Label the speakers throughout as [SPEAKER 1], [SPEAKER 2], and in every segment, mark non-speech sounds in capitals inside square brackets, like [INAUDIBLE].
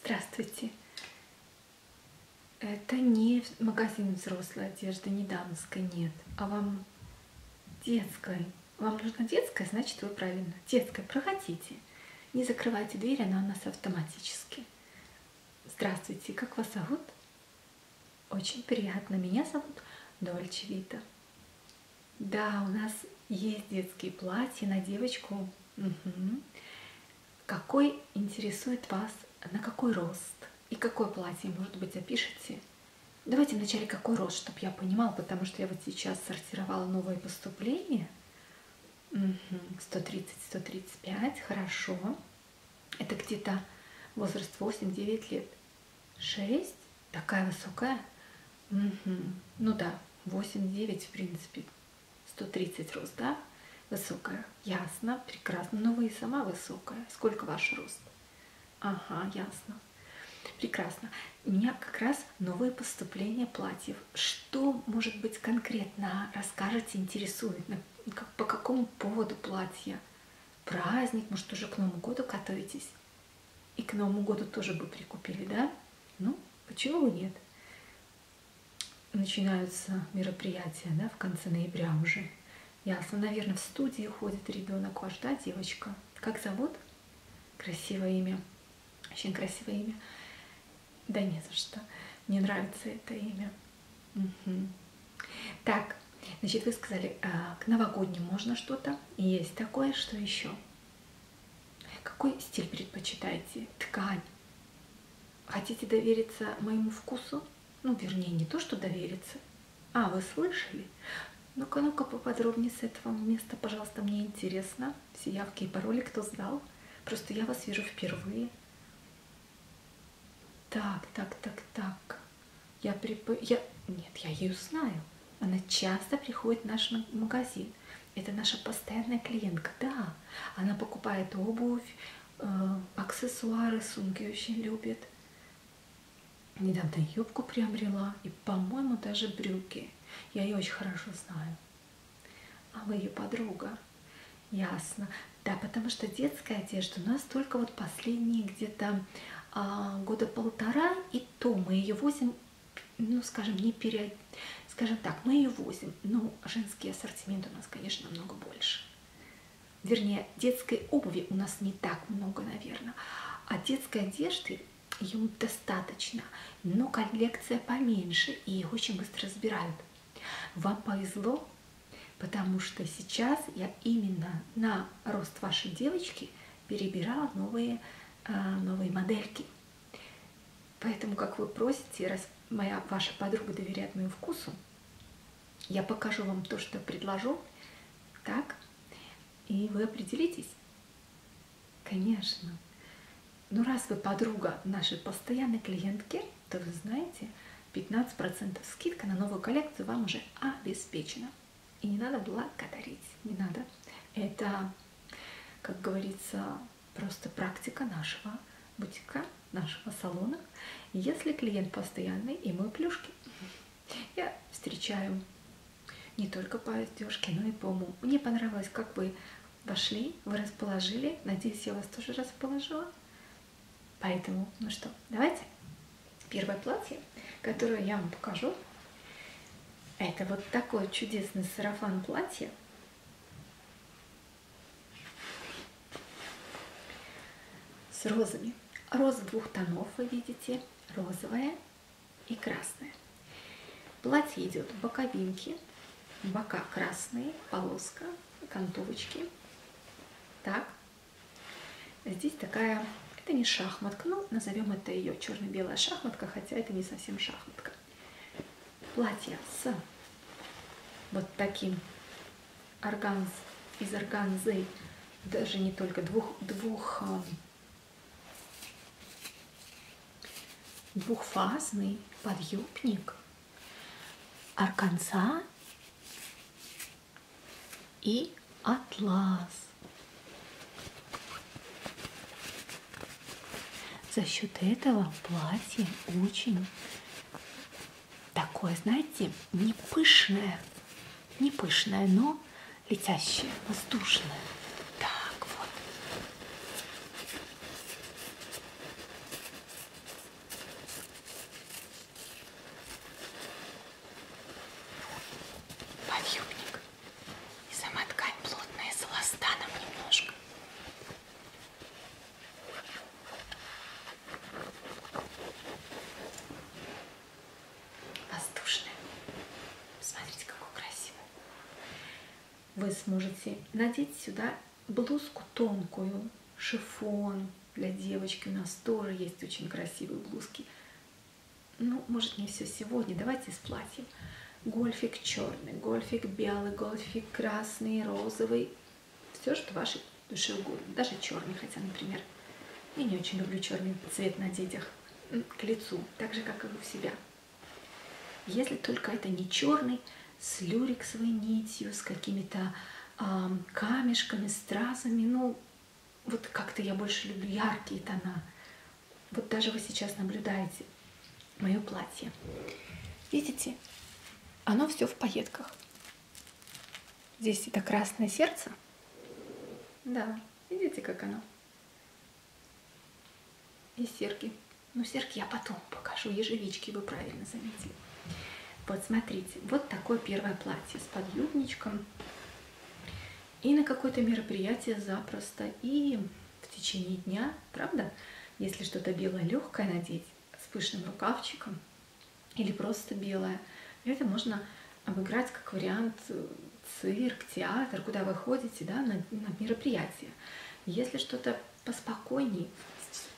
[SPEAKER 1] Здравствуйте. Это не магазин взрослой одежды, не дамской, нет. А вам детской. Вам нужна детская, значит вы правильно. Детская, проходите. Не закрывайте дверь, она у нас автоматически. Здравствуйте, как вас зовут? Очень приятно. Меня зовут Дольче Вита. Да, у нас есть детские платья на девочку Угу. Какой интересует вас, на какой рост и какое платье, может быть, опишите? Давайте вначале какой рост, чтобы я понимал, потому что я вот сейчас сортировала новые поступления. Угу. 130-135, хорошо. Это где-то возраст 8-9 лет. 6? Такая высокая? Угу. Ну да, 8-9 в принципе. 130 рост, да? Высокая. Ясно, прекрасно. Но ну, вы и сама высокая. Сколько ваш рост? Ага, ясно. Прекрасно. У меня как раз новые поступления платьев. Что, может быть, конкретно расскажете, интересует? Как, по какому поводу платья? Праздник, может, уже к Новому году готовитесь? И к Новому году тоже бы прикупили, да? Ну, почему бы нет? начинаются мероприятия, да, в конце ноября уже. Ясно, наверное, в студии ходит ребенок ваш, да, девочка? Как зовут? Красивое имя. Очень красивое имя. Да не за что. Мне нравится это имя. Угу. Так, значит, вы сказали, а, к новогодним можно что-то? Есть такое, что еще? Какой стиль предпочитаете? Ткань. Хотите довериться моему вкусу? Ну, вернее, не то, что довериться. А, вы слышали? Ну-ка, ну-ка, поподробнее с этого места, пожалуйста, мне интересно. Все явки и пароли, кто знал. Просто я вас вижу впервые. Так, так, так, так. Я припо... Я... Нет, я ее знаю. Она часто приходит в наш магазин. Это наша постоянная клиентка, да. Она покупает обувь, э, аксессуары, сумки очень любит. Недавно юбку приобрела и, по-моему, даже брюки. Я ее очень хорошо знаю. А вы ее подруга? Ясно. Да, потому что детская одежда у нас только вот последние где-то а, года полтора, и то мы ее возим ну, скажем, не пере... Скажем так, мы ее возим, но женский ассортимент у нас, конечно, много больше. Вернее, детской обуви у нас не так много, наверное. А детской одежды ее достаточно, но коллекция поменьше, и их очень быстро разбирают. Вам повезло, потому что сейчас я именно на рост вашей девочки перебирала новые, э, новые модельки. Поэтому, как вы просите, раз моя ваша подруга доверяет моему вкусу, я покажу вам то, что предложу, так, и вы определитесь. Конечно. Ну, раз вы подруга нашей постоянной клиентки, то вы знаете, 15% скидка на новую коллекцию вам уже обеспечена. И не надо благодарить, не надо. Это, как говорится, просто практика нашего бутика, нашего салона. Если клиент постоянный, и мы плюшки. Я встречаю не только по одежке, но и по уму. Мне понравилось, как вы вошли, вы расположили. Надеюсь, я вас тоже расположила. Поэтому, ну что, давайте. Первое платье, которое я вам покажу, это вот такой чудесный сарафан платье. С розами. Роза двух тонов, вы видите, розовая и красная. Платье идет боковинки, бока красные, полоска, кантовочки. Так. Здесь такая, это не шахматка, но ну, назовем это ее черно-белая шахматка, хотя это не совсем шахматка. Платье с вот таким органз, из органзы, даже не только двух, двух, а, двухфазный подъюбник, органза и атлас. За счет этого платье очень такое, знаете, не пышное, не пышное, но летящее, воздушное. Так вот. Подъемник. И сама ткань плотная с эластаном немножко. Воздушная. Смотрите, какой красивый. Вы сможете надеть сюда блузку тонкую, шифон для девочки. У нас тоже есть очень красивые блузки ну, может, не все сегодня, давайте с платьем. Гольфик черный, гольфик белый, гольфик красный, розовый. Все, что вашей душе угодно. Даже черный, хотя, например, я не очень люблю черный цвет на детях. К лицу, так же, как и у себя. Если только это не черный, с люрексовой нитью, с какими-то э, камешками, стразами, ну, вот как-то я больше люблю яркие тона. Вот даже вы сейчас наблюдаете мое платье. Видите, оно все в пайетках. Здесь это красное сердце. Да, видите, как оно? И серьги. Ну, серьги я потом покажу, ежевички вы правильно заметили. Вот смотрите, вот такое первое платье с подъюбничком. И на какое-то мероприятие запросто. И в течение дня, правда? Если что-то белое легкое надеть с пышным рукавчиком или просто белое, это можно обыграть как вариант э, цирк, театр, куда вы ходите, да, на, на мероприятие. Если что-то поспокойнее,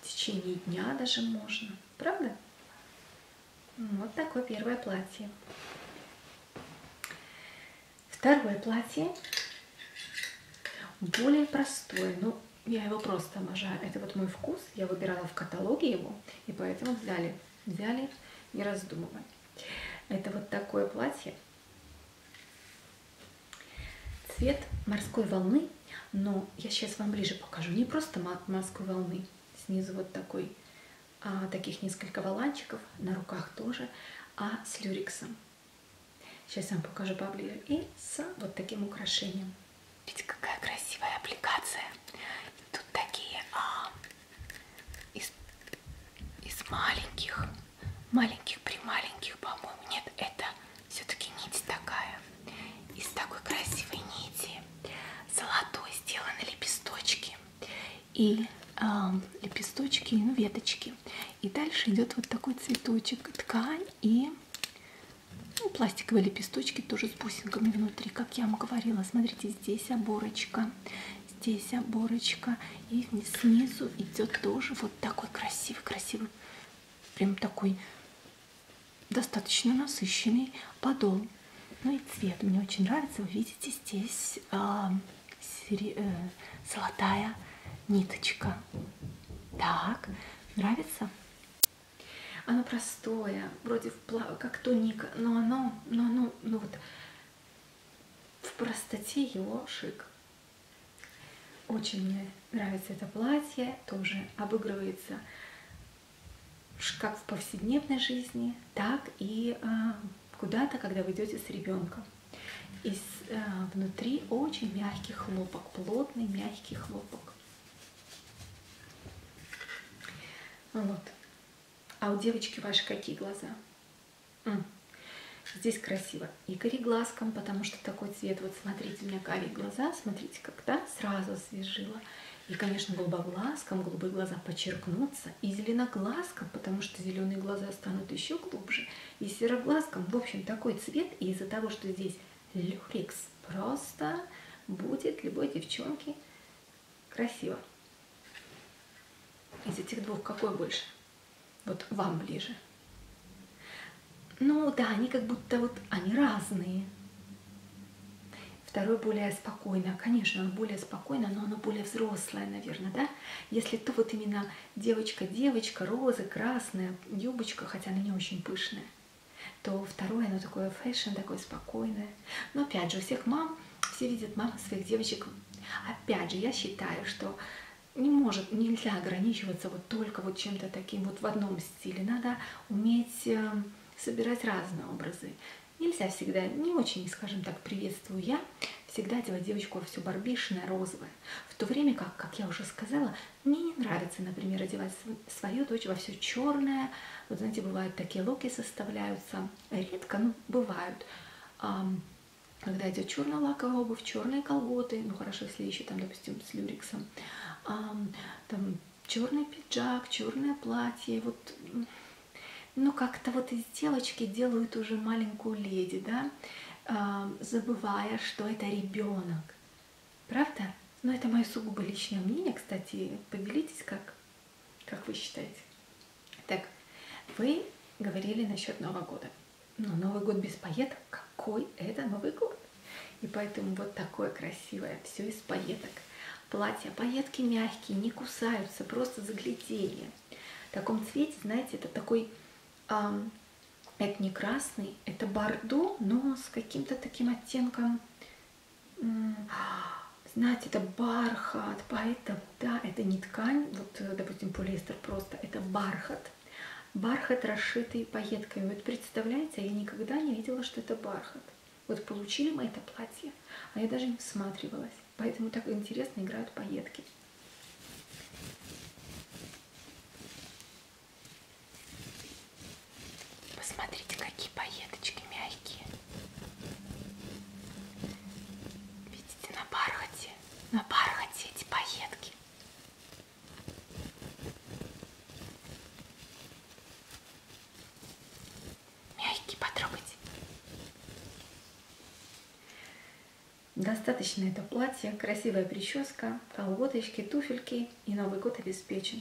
[SPEAKER 1] в течение дня даже можно, правда? Ну, вот такое первое платье. Второе платье более простое, но ну, я его просто обожаю. Это вот мой вкус, я выбирала в каталоге его, и поэтому взяли, взяли не раздумывая. Это вот такое платье. Цвет морской волны, но я сейчас вам ближе покажу. Не просто морской волны, снизу вот такой а, таких несколько валанчиков, на руках тоже, а с люриксом. Сейчас я вам покажу поближе. И с вот таким украшением. Видите, какая красивая аппликация. Тут такие а, из, из маленьких, маленьких при маленьких, по-моему. Нет, это все-таки нить такая. Из такой красивой нити. Золотой сделаны лепесточки и э, лепесточки, ну, веточки. И дальше идет вот такой цветочек, ткань и ну, пластиковые лепесточки тоже с бусинками внутри, как я вам говорила. Смотрите, здесь оборочка, здесь оборочка, и снизу идет тоже вот такой красивый, красивый, прям такой достаточно насыщенный подол. Ну и цвет мне очень нравится. Вы видите здесь э, Э, золотая ниточка. Так, нравится? Оно простое, вроде вплав... как тоника, но оно, но оно, ну вот в простоте его шик. Очень мне нравится это платье, тоже обыгрывается как в повседневной жизни, так и э, куда-то, когда вы идете с ребенком. И э, внутри очень мягкий хлопок, плотный мягкий хлопок. Вот. А у девочки ваши какие глаза? М. Здесь красиво. И кореглазком, потому что такой цвет. Вот смотрите, у меня карие глаза. Смотрите, когда сразу освежила. И, конечно, голубоглазком голубые глаза подчеркнутся нравится. И зеленоглазкам, потому что зеленые глаза станут еще глубже. И сероглазкам, в общем, такой цвет. И из-за того, что здесь люрикс, просто будет любой девчонке красиво. Из этих двух какой больше? Вот вам ближе. Ну да, они как будто вот, они разные. Второй более спокойно, а, конечно, он более спокойно спокойно, но оно более взрослое, наверное, да? Если то вот именно девочка-девочка, розы, красная, юбочка, хотя она не очень пышная, то второе, оно такое фэшн, такое спокойное. Но опять же, у всех мам, все видят мам своих девочек. Опять же, я считаю, что не может, нельзя ограничиваться вот только вот чем-то таким вот в одном стиле. Надо уметь э, собирать разные образы. Нельзя всегда, не очень, скажем так, приветствую я, всегда одевать девочку все барбишное, розовое. В то время как, как я уже сказала, мне не нравится, например, одевать свою дочь во все черное. Вот знаете, бывают такие локи составляются, редко, но бывают. Когда идет черная лаковая обувь, черные колготы, ну хорошо, если еще там, допустим, с люриксом, там черный пиджак, черное платье, вот ну как-то вот из девочки делают уже маленькую леди, да, э, забывая, что это ребенок. Правда? Но ну, это мое сугубо личное мнение, кстати, поделитесь, как, как вы считаете. Так, вы говорили насчет Нового года. Но ну, Новый год без поеток, какой это Новый год? И поэтому вот такое красивое, все из поеток. Платья, поетки мягкие, не кусаются, просто загляденье. В таком цвете, знаете, это такой, э, это не красный, это бордо, но с каким-то таким оттенком, э, знаете, это бархат, поэтому, да, это не ткань, вот, э, допустим, полиэстер просто, это бархат. Бархат, расшитый пайетками. Вот представляете, а я никогда не видела, что это бархат. Вот получили мы это платье, а я даже не всматривалась. Поэтому так интересно играют поетки. Посмотрите, какие поеточки мягкие. Видите, на бархате, на бархате эти поетки мягкий, потрогайте. Достаточно это платье, красивая прическа, колготочки, туфельки и Новый год обеспечен.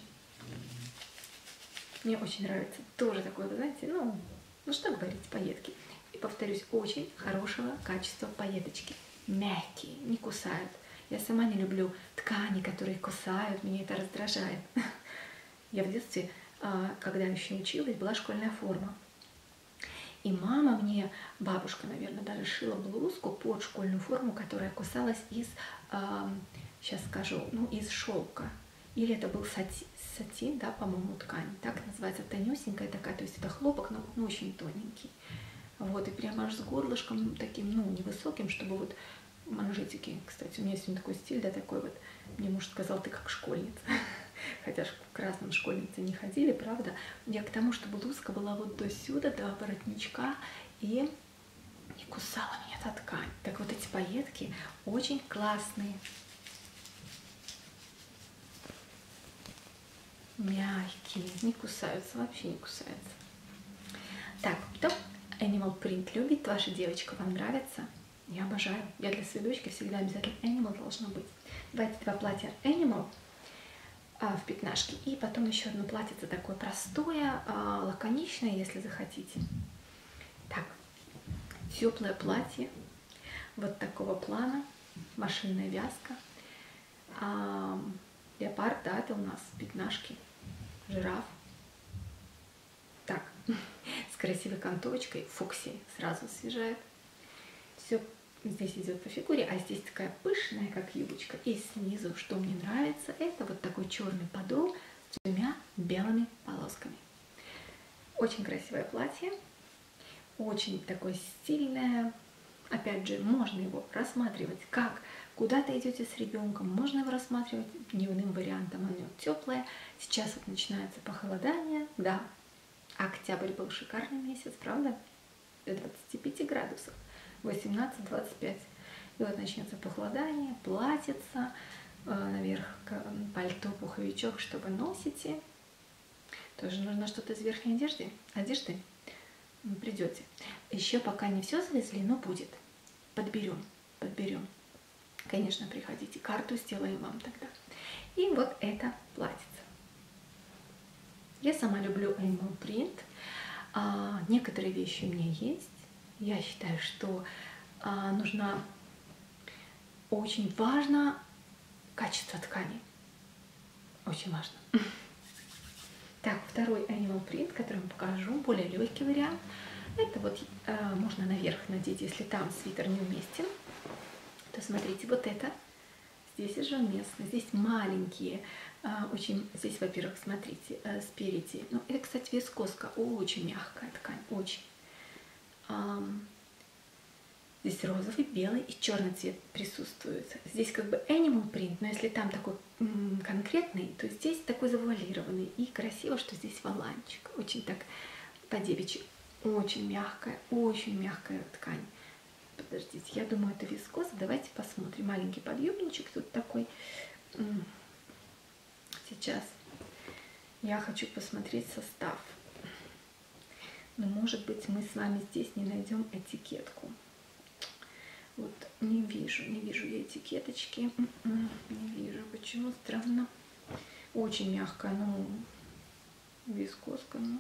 [SPEAKER 1] Мне очень нравится. Тоже такое, вы знаете, ну, ну что говорить, пайетки. И повторюсь, очень хорошего качества пайеточки. Мягкие, не кусают. Я сама не люблю ткани, которые кусают, меня это раздражает. [LAUGHS] Я в детстве, а, когда еще училась, была школьная форма. И мама мне, бабушка, наверное, даже шила блузку под школьную форму, которая кусалась из, сейчас а, скажу, ну, из шелка. Или это был сатин, сатин да, по-моему, ткань. Так называется, тонюсенькая такая, то есть это хлопок, но ну, очень тоненький. Вот, и прямо аж с горлышком таким, ну, невысоким, чтобы вот манжетики, кстати, у меня сегодня такой стиль, да, такой вот мне муж сказал, ты как школьница. [LAUGHS] Хотя к красным школьницы не ходили, правда. Я к тому, что блузка была вот до сюда, до воротничка, и не кусала меня эта ткань. Так вот эти пайетки очень классные. Мягкие, не кусаются, вообще не кусаются. Так, кто Animal Print любит? Ваша девочка вам нравится? Я обожаю. Я для сведочки всегда обязательно Animal должна быть. Давайте два платья Animal а, в пятнашке. И потом еще одно платьице такое простое, а, лаконичное, если захотите. Так, теплое платье. Вот такого плана. Машинная вязка. А, леопард, да, это у нас пятнашки. Жираф так, [LAUGHS] с красивой контовочкой, фукси сразу освежает. Все здесь идет по фигуре, а здесь такая пышная, как юбочка. И снизу, что мне нравится, это вот такой черный подол с двумя белыми полосками. Очень красивое платье, очень такое стильное. Опять же, можно его рассматривать как куда-то идете с ребенком, можно его рассматривать дневным вариантом, оно теплое, Сейчас вот начинается похолодание, да, октябрь был шикарный месяц, правда? До 25 градусов, 18-25. И вот начнется похолодание, платьица, э, наверх пальто, пуховичок, что вы носите. Тоже нужно что-то из верхней одежды. Одежды придете. Еще пока не все завезли, но будет. Подберем подберем. Конечно, приходите, карту сделаем вам тогда. И вот это платьице. Я сама люблю Animal Print. А, некоторые вещи у меня есть. Я считаю, что а, нужна очень важно качество ткани. Очень важно. Так, второй Animal Print, который я вам покажу, более легкий вариант. Это вот Э, можно наверх надеть, если там свитер не уместен, то смотрите, вот это здесь уже уместно. Здесь маленькие, э, очень, здесь, во-первых, смотрите, э, спереди. Ну, это, кстати, вискоска, очень мягкая ткань, очень. Здесь розовый, белый и черный цвет присутствует. Здесь как бы animal print, но если там такой м -м, конкретный, то здесь такой завуалированный. И красиво, что здесь валанчик. Очень так как по девичьи. Очень мягкая, очень мягкая ткань. Подождите, я думаю, это вискоза. Давайте посмотрим. Маленький подъемничек тут такой. Сейчас я хочу посмотреть состав. Но, может быть, мы с вами здесь не найдем этикетку. Вот не вижу, не вижу я этикеточки. М-м, не вижу, почему странно. Очень мягкая, ну, вискоска, но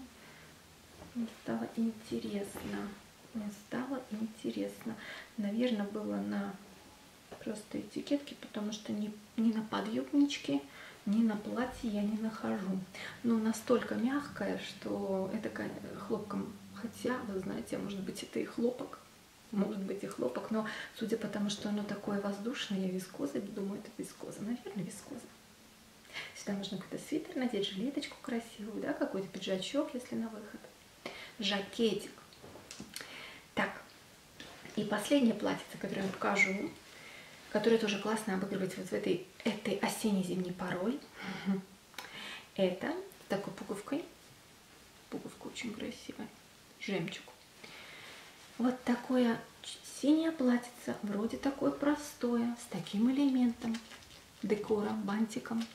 [SPEAKER 1] мне стало интересно. Мне стало интересно. Наверное, было на просто этикетке, потому что ни, ни на подъемничке, ни на платье я не нахожу. Но настолько мягкая, что это хлопком. Хотя, вы знаете, может быть, это и хлопок может быть и хлопок, но судя по тому, что оно такое воздушное, вискоза, думаю, это вискоза, наверное, вискоза. Сюда можно какой-то свитер надеть, жилеточку красивую, да, какой-то пиджачок, если на выход, жакетик. Так, и последняя платьице, которое я покажу, которое тоже классно обыгрывать вот в этой, этой осенне-зимней порой, это такой пуговкой Пуговка очень красивая. Жемчуг. Вот такое синее платьице, вроде такое простое, с таким элементом декора, бантиком,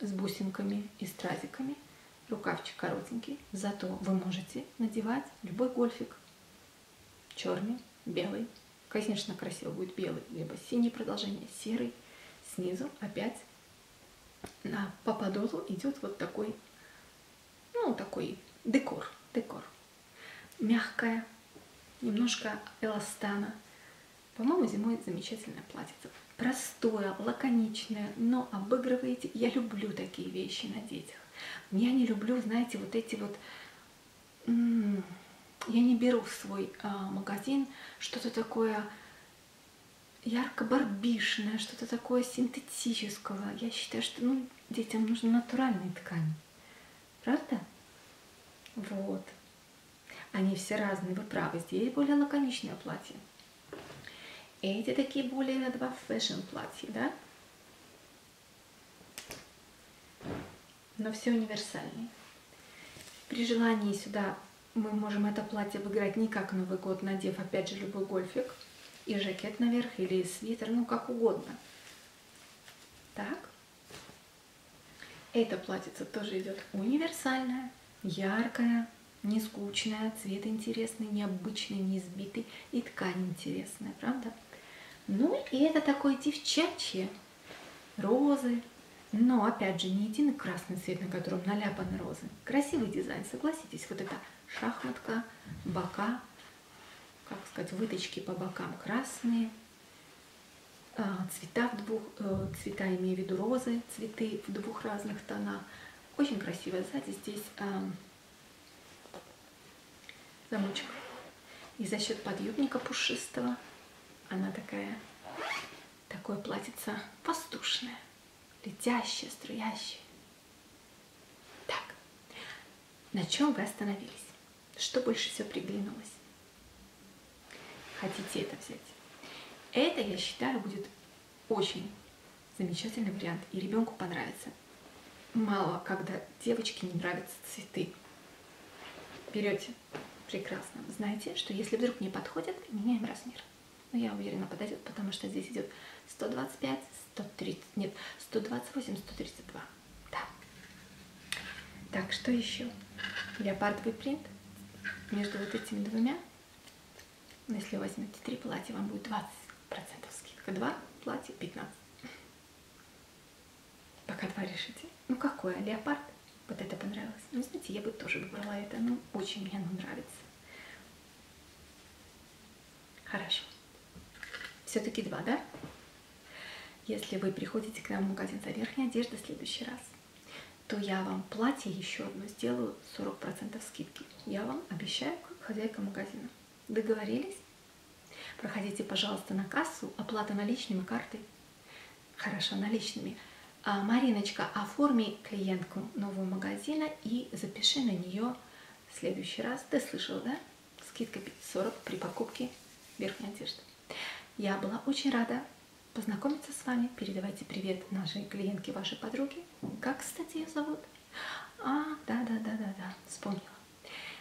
[SPEAKER 1] с бусинками и стразиками. Рукавчик коротенький, зато вы можете надевать любой гольфик. Черный, белый. Конечно, красиво будет белый, либо синий продолжение, серый. Снизу опять на пападозу идет вот такой, ну, такой декор, декор. Мягкая, немножко эластана. По-моему, зимой замечательное платьице. Простое, лаконичное, но обыгрываете. Я люблю такие вещи на детях. Я не люблю, знаете, вот эти вот... Я не беру в свой э, магазин что-то такое ярко-барбишное, что-то такое синтетического. Я считаю, что ну, детям нужны натуральные ткани. Правда? Вот. Они все разные, вы правы. Здесь более лаконичное платье. Эти такие более два фэшн платья, да? Но все универсальные. При желании сюда мы можем это платье выиграть не как Новый год, надев опять же любой гольфик и жакет наверх, или свитер, ну как угодно. Так. Эта платьица тоже идет универсальная, яркая, не скучная, цвет интересный, необычный, не сбитый, и ткань интересная, правда? Ну и это такое девчачье, розы, но опять же не единый красный цвет, на котором наляпаны розы, Красивый дизайн, согласитесь, вот эта шахматка, бока, как сказать, выточки по бокам красные, а, цвета в двух, э, цвета имею в виду розы, цветы в двух разных тонах. Очень красиво. Сзади здесь а, замочек. И за счет подъемника пушистого она такая, такое платьице пастушное летящее, струящее. Так, на чем вы остановились? Что больше всего приглянулось? Хотите это взять? Это, я считаю, будет очень замечательный вариант, и ребенку понравится. Мало, когда девочке не нравятся цветы. Берете прекрасно. Знаете, что если вдруг не подходят, меняем размер но ну, я уверена подойдет, потому что здесь идет 125, 130, нет, 128, 132. Да. Так, что еще? Леопардовый принт между вот этими двумя. Ну, если вы возьмете три платья, вам будет 20% скидка. Два платья 15. Пока два решите. Ну какое? Леопард? Вот это понравилось. Ну, знаете, я бы тоже выбрала это. Ну, очень мне оно нравится. Хорошо. Все-таки два, да? Если вы приходите к нам в магазин за верхней одеждой в следующий раз, то я вам платье еще одно сделаю 40% скидки. Я вам обещаю, как хозяйка магазина. Договорились? Проходите, пожалуйста, на кассу, оплата наличными картой. Хорошо, наличными. А, Мариночка, оформи клиентку нового магазина и запиши на нее в следующий раз. Ты слышал, да? Скидка 40 при покупке верхней одежды. Я была очень рада познакомиться с вами. Передавайте привет нашей клиентке, вашей подруге. Как, кстати, ее зовут? А, да-да-да-да-да, вспомнила.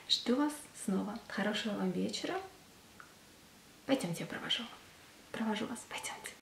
[SPEAKER 1] Жду вас снова. Хорошего вам вечера. Пойдемте, я провожу. Провожу вас. Пойдемте.